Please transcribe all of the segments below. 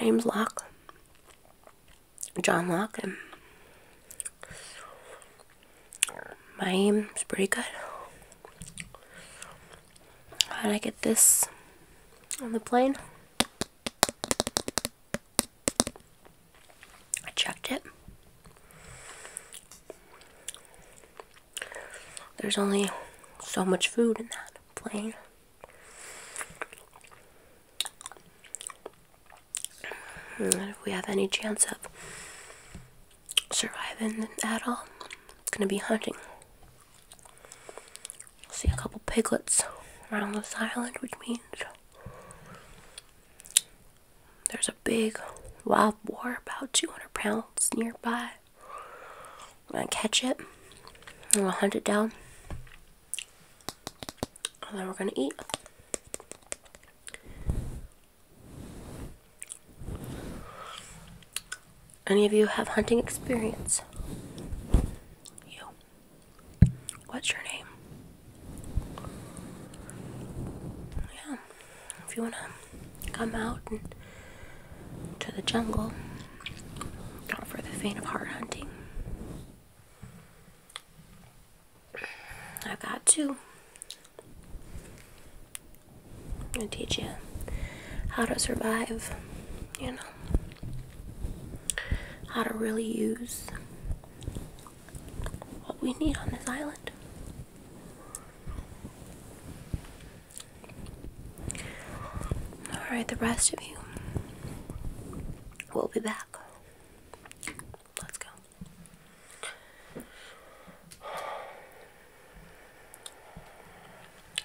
The name's Locke, John Locke, and my aim pretty good. How did I get this on the plane? I checked it. There's only so much food in that plane. Hmm, if we have any chance of surviving at all, it's gonna be hunting see a couple piglets around this island, which means there's a big wild boar about 200 pounds nearby. I'm gonna catch it, I'm gonna hunt it down, and then we're gonna eat. Any of you have hunting experience? You. What's your name? Yeah, if you want to come out and to the jungle, not for the faint of heart hunting. I've got two. I'll teach you how to survive, you know how to really use what we need on this island. Alright, the rest of you will be back. Let's go.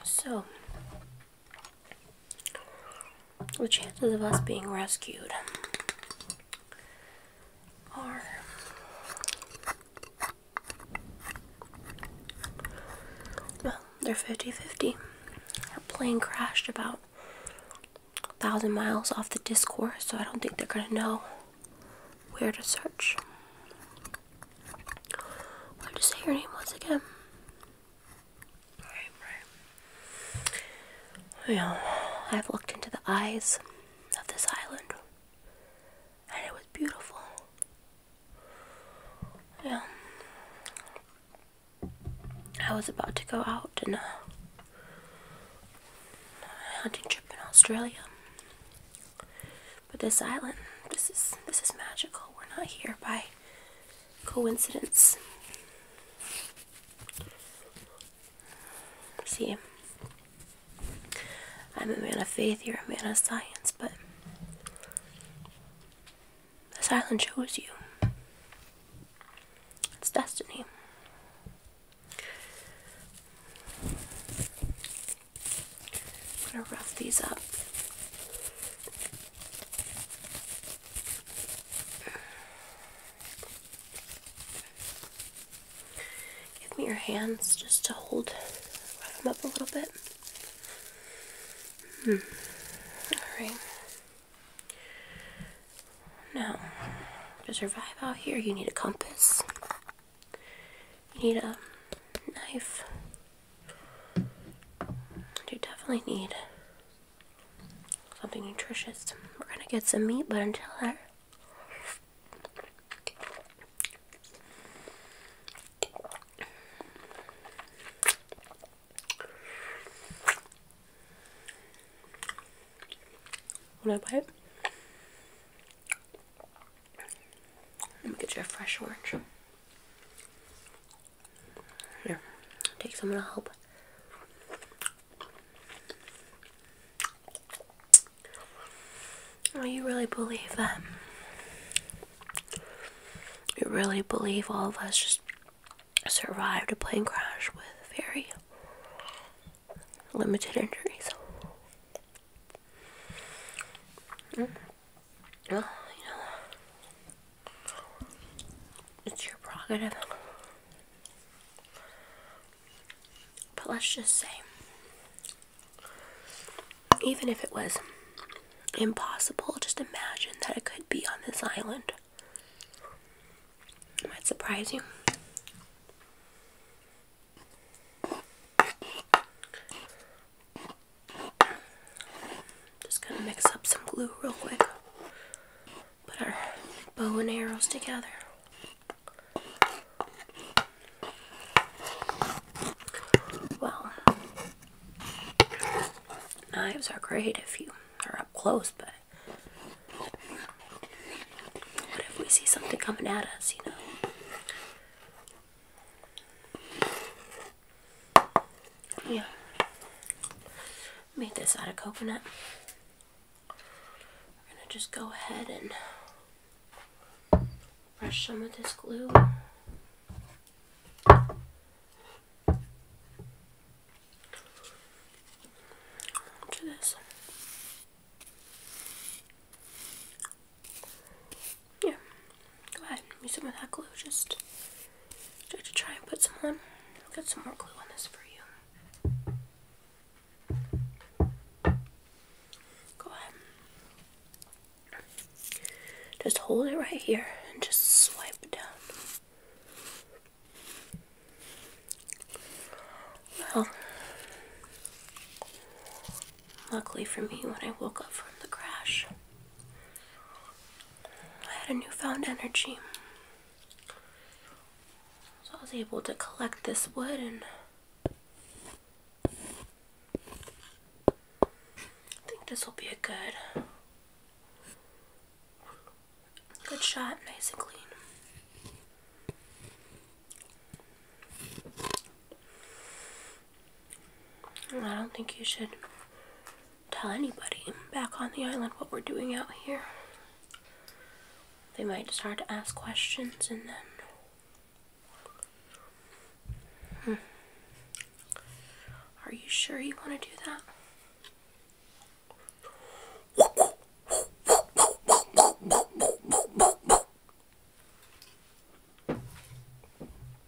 So, the chances of us being rescued are well, they're 50 50. Our plane crashed about a thousand miles off the discourse, so I don't think they're gonna know where to search. What did say your name once again? Right, Well, I've looked into the eyes of this island, and it was beautiful. Yeah. I was about to go out on a hunting trip in Australia, but this island, this is this is magical. We're not here by coincidence. See, I'm a man of faith, you're a man of science, but this island chose you. It's destiny. I'm gonna rough these up Give me your hands just to hold, rub them up a little bit. Hmm. All right. Now, to survive out here, you need a compass. You need a knife. You definitely need something nutritious. We're gonna get some meat, but until then, Wanna bite? Let me get you a fresh orange. Here, take some to help. Oh, you really believe that? You really believe all of us just survived a plane crash with very limited injuries? Mm. Well, you know, it's your prerogative. But let's just say, even if it was impossible, just imagine that it could be on this island. might surprise you. Just gonna mix up some glue real quick. Put our bow and arrows together. Well, knives are great if you are up close, but what if we see something coming at us, you know? Yeah. Made this out of coconut. We're gonna just go ahead and brush some of this glue. To this. Yeah. Go ahead use some of that glue. Just try to try and put some on. I'll get some more glue on this for you. Go ahead. Just hold it right here and just swipe it down. Well, luckily for me, when I woke up from the crash, I had a newfound energy. So I was able to collect this wood and I think this will be a good good shot, nice and clean. I don't think you should tell anybody back on the island what we're doing out here. They might start to ask questions and then. Hmm. Are you sure you want to do that?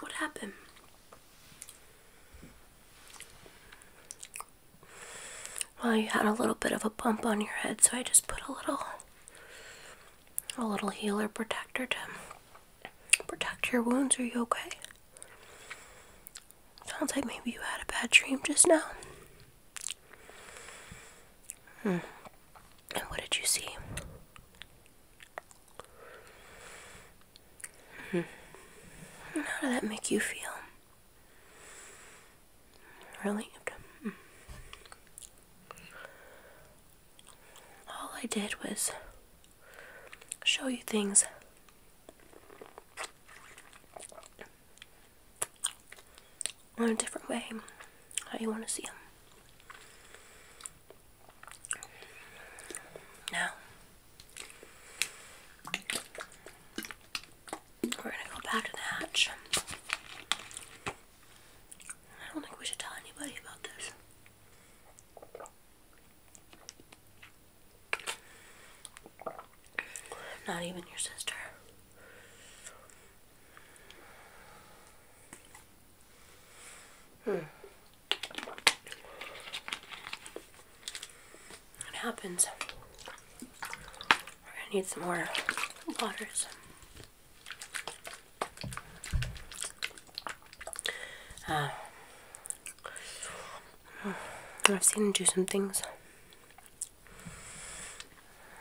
What happened? Well, you had a little bit of a bump on your head, so I just put a little a little healer protector to protect your wounds. Are you okay? Sounds like maybe you had a bad dream just now. Hmm. And what did you see? -hmm. How did that make you feel? Really? All I did was show you things in a different way, how you want to see them. Now, we're gonna go back to the hatch. I don't think we should tell anybody about this. Not even your sister. Hmm. It happens. We're gonna need some more waters. Uh, um, I've seen him do some things.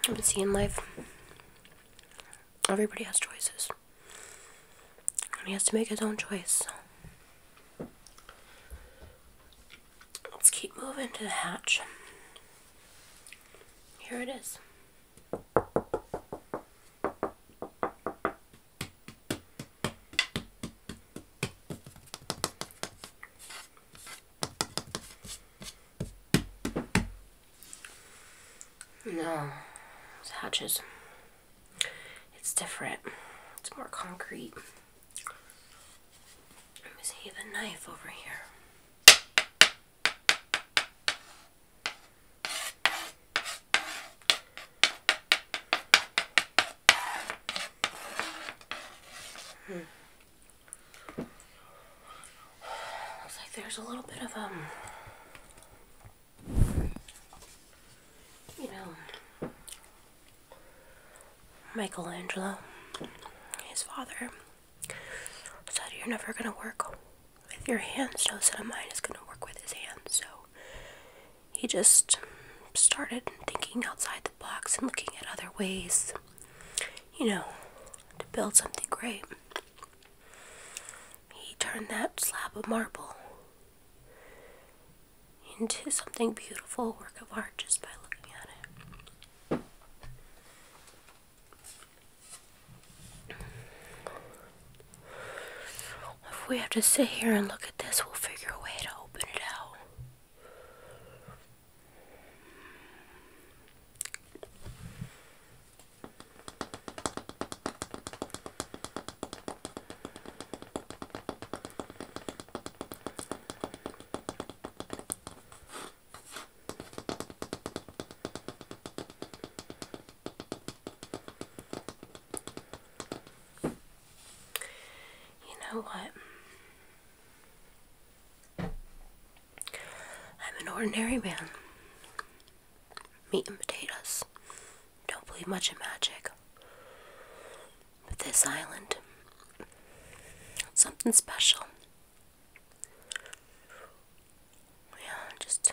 I've seen seeing life. Everybody has choices. And he has to make his own choice. Let's keep moving to the hatch. Here it is. No, it's hatches. It's different. It's more concrete. Let me see the knife over here. Hmm. Looks like there's a little bit of um you know Michelangelo his father so you're never gonna work with your hands. No Joseph of mine is gonna work with his hands. So he just started thinking outside the box and looking at other ways, you know, to build something great. He turned that slab of marble into something beautiful, work of art, just by looking at it. If we have to sit here and look at this, we'll figure a way to open it out. You know what? I'm an ordinary man. Meat and potatoes. Don't believe much in magic. But this island, something special. Yeah, just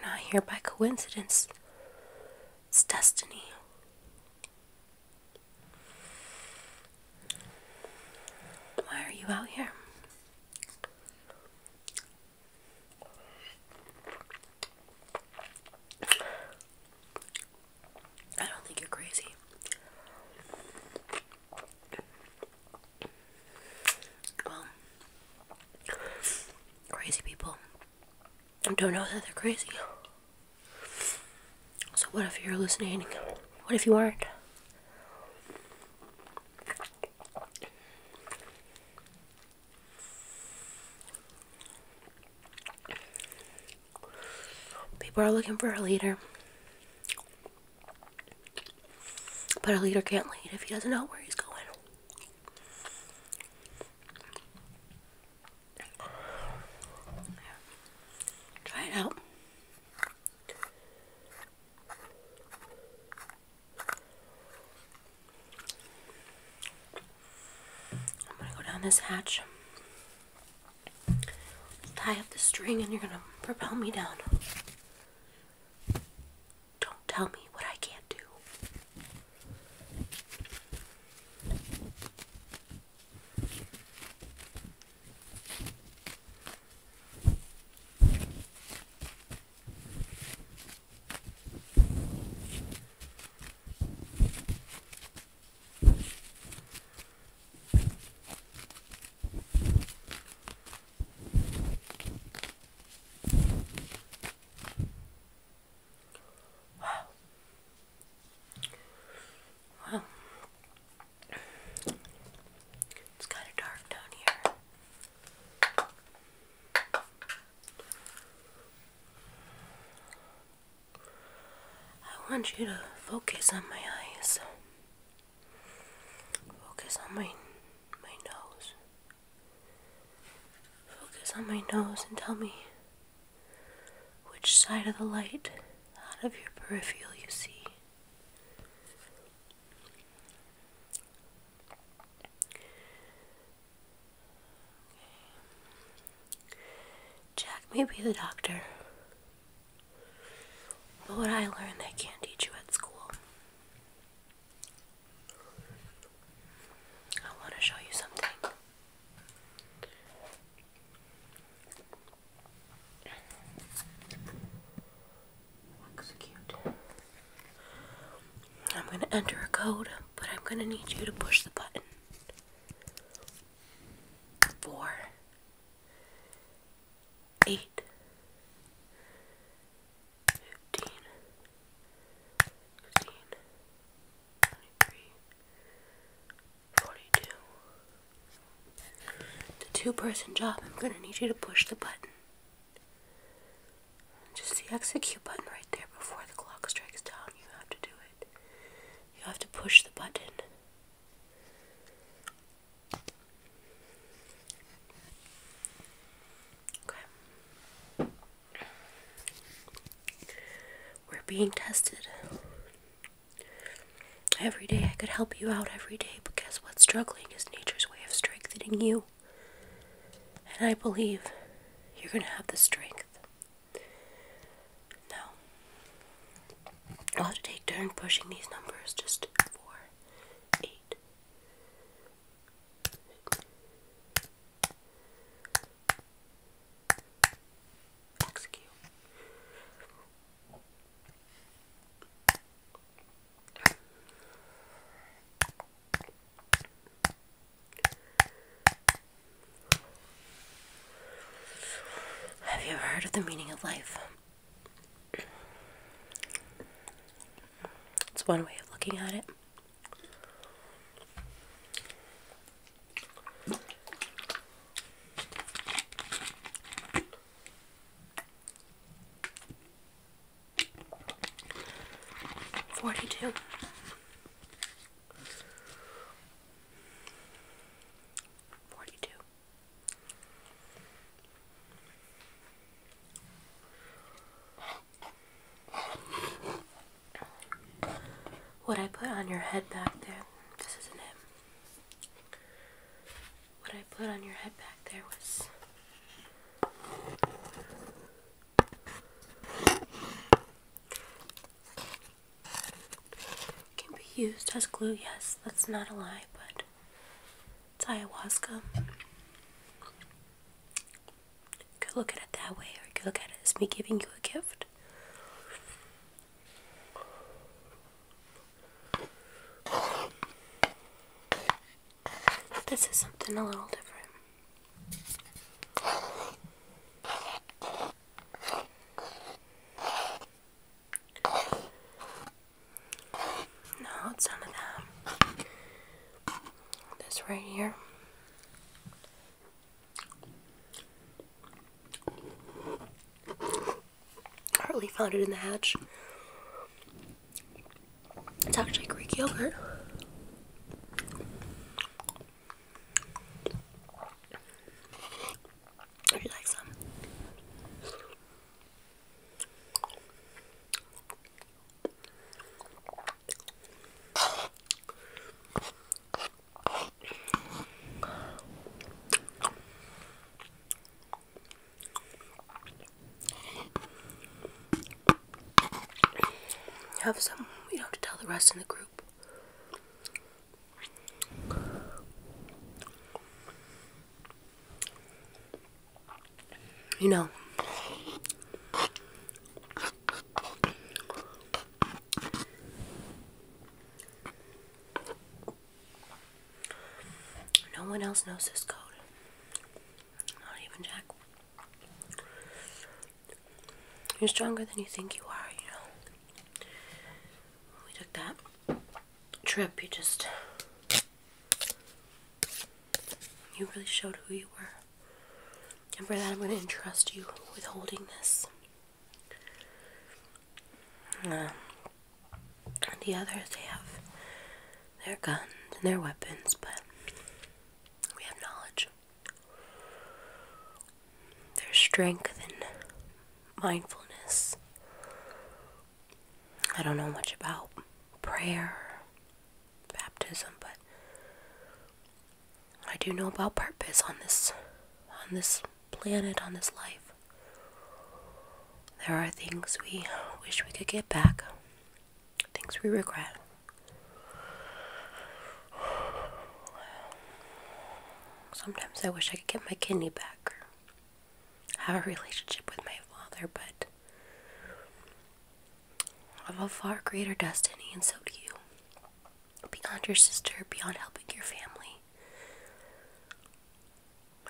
we're not here by coincidence. It's destiny. Why are you out here? I don't think you're crazy. Well, crazy people don't know that they're crazy. So, what if you're listening? What if you aren't? People are looking for a leader. But a leader can't lead if he doesn't know where he's going. Try it out. I'm going to go down this hatch tie up the string and you're gonna propel me down. Don't tell me what I can't do it's kind of dark down here. I want you to focus on my eyes. Focus on my my nose. Focus on my nose and tell me which side of the light out of your peripheral you see. Jack may be the doctor, but what I learned, they can't teach you at school. I want to show you something. Looks I'm going to enter a code, but I'm going to need you to push the button. Four, eight, fifteen, sixteen, twenty-three, forty-two. It's a two-person job. I'm gonna need you to push the button. Just the execute button right there before the clock strikes down. You have to do it. You have to push the button. We're being tested. Every day I could help you out every day, but guess what? Struggling is nature's way of strengthening you. And I believe you're going to have the strength now, I'll have to take turn pushing these numbers just four, eight. Execute. Have you ever heard of the meaning of life? It's one way of looking at it. Forty two. Forty two. What I put on your head back there, this isn't it. What I put on your head back there was. Can be used as glue, yes, that's not a lie, but it's ayahuasca. You could look at it that way, or you could look at it as me giving you a gift. This is something a little different. No, it's some of that. This right here. Hardly found it in the hatch. It's actually Greek yogurt. Would Have some. We don't have to tell the rest in the group. You know, no one else knows this code. Not even Jack. You're stronger than you think you are, you know. We took that trip, you just you really showed who you were. And for that, I'm going to entrust you with holding this. Uh, the others, have their guns and their weapons, but we have knowledge. There's strength in mindfulness. I don't know much about prayer, baptism, but I do know about purpose on this on this planet, on this life. There are things we wish we could get back, things we regret. Sometimes I wish I could get my kidney back have a relationship with my father, but I have a far greater destiny, and so do you. Beyond your sister, beyond helping your family.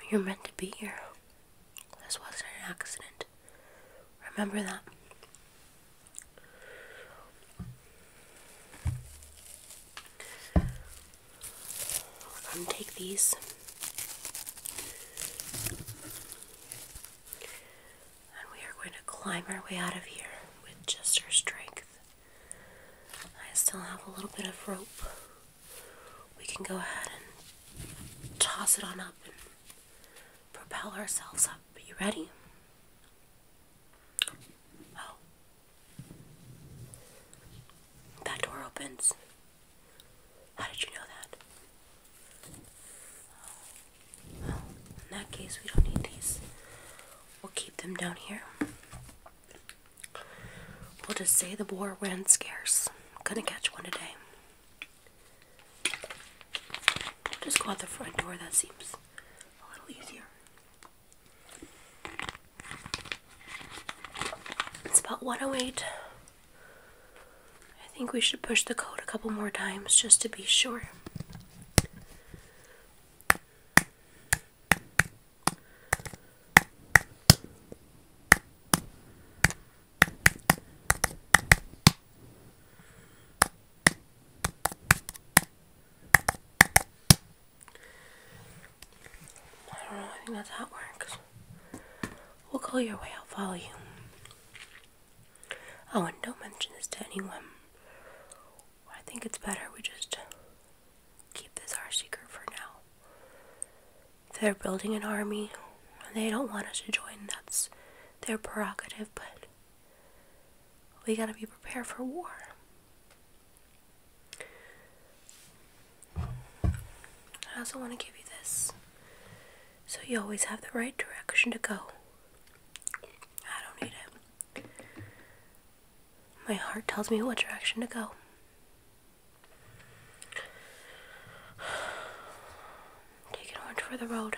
You're meant to be here. This wasn't an accident. Remember that i these and we are going to climb our way out of here with just our strength. I still have a little bit of rope. We can go ahead and toss it on up and propel ourselves up. Are you ready? Oh, that door opens. How did you know that? Well, in that case, we don't need these. We'll keep them down here. We'll just say the boar ran scarce. I'm gonna catch one today. just go out the front door, that seems a little easier. It's about 108. I think we should push the code a couple more times just to be sure. I don't know, I think that's how it works. We'll go your way, I'll follow you. Oh, and don't mention this to anyone. I think it's better we just keep this our secret for now. they're building an army and they don't want us to join, that's their prerogative, but we gotta be prepared for war. I also want to give you this so you always have the right direction to go. I don't need it. My heart tells me what direction to go. Take orange for the road.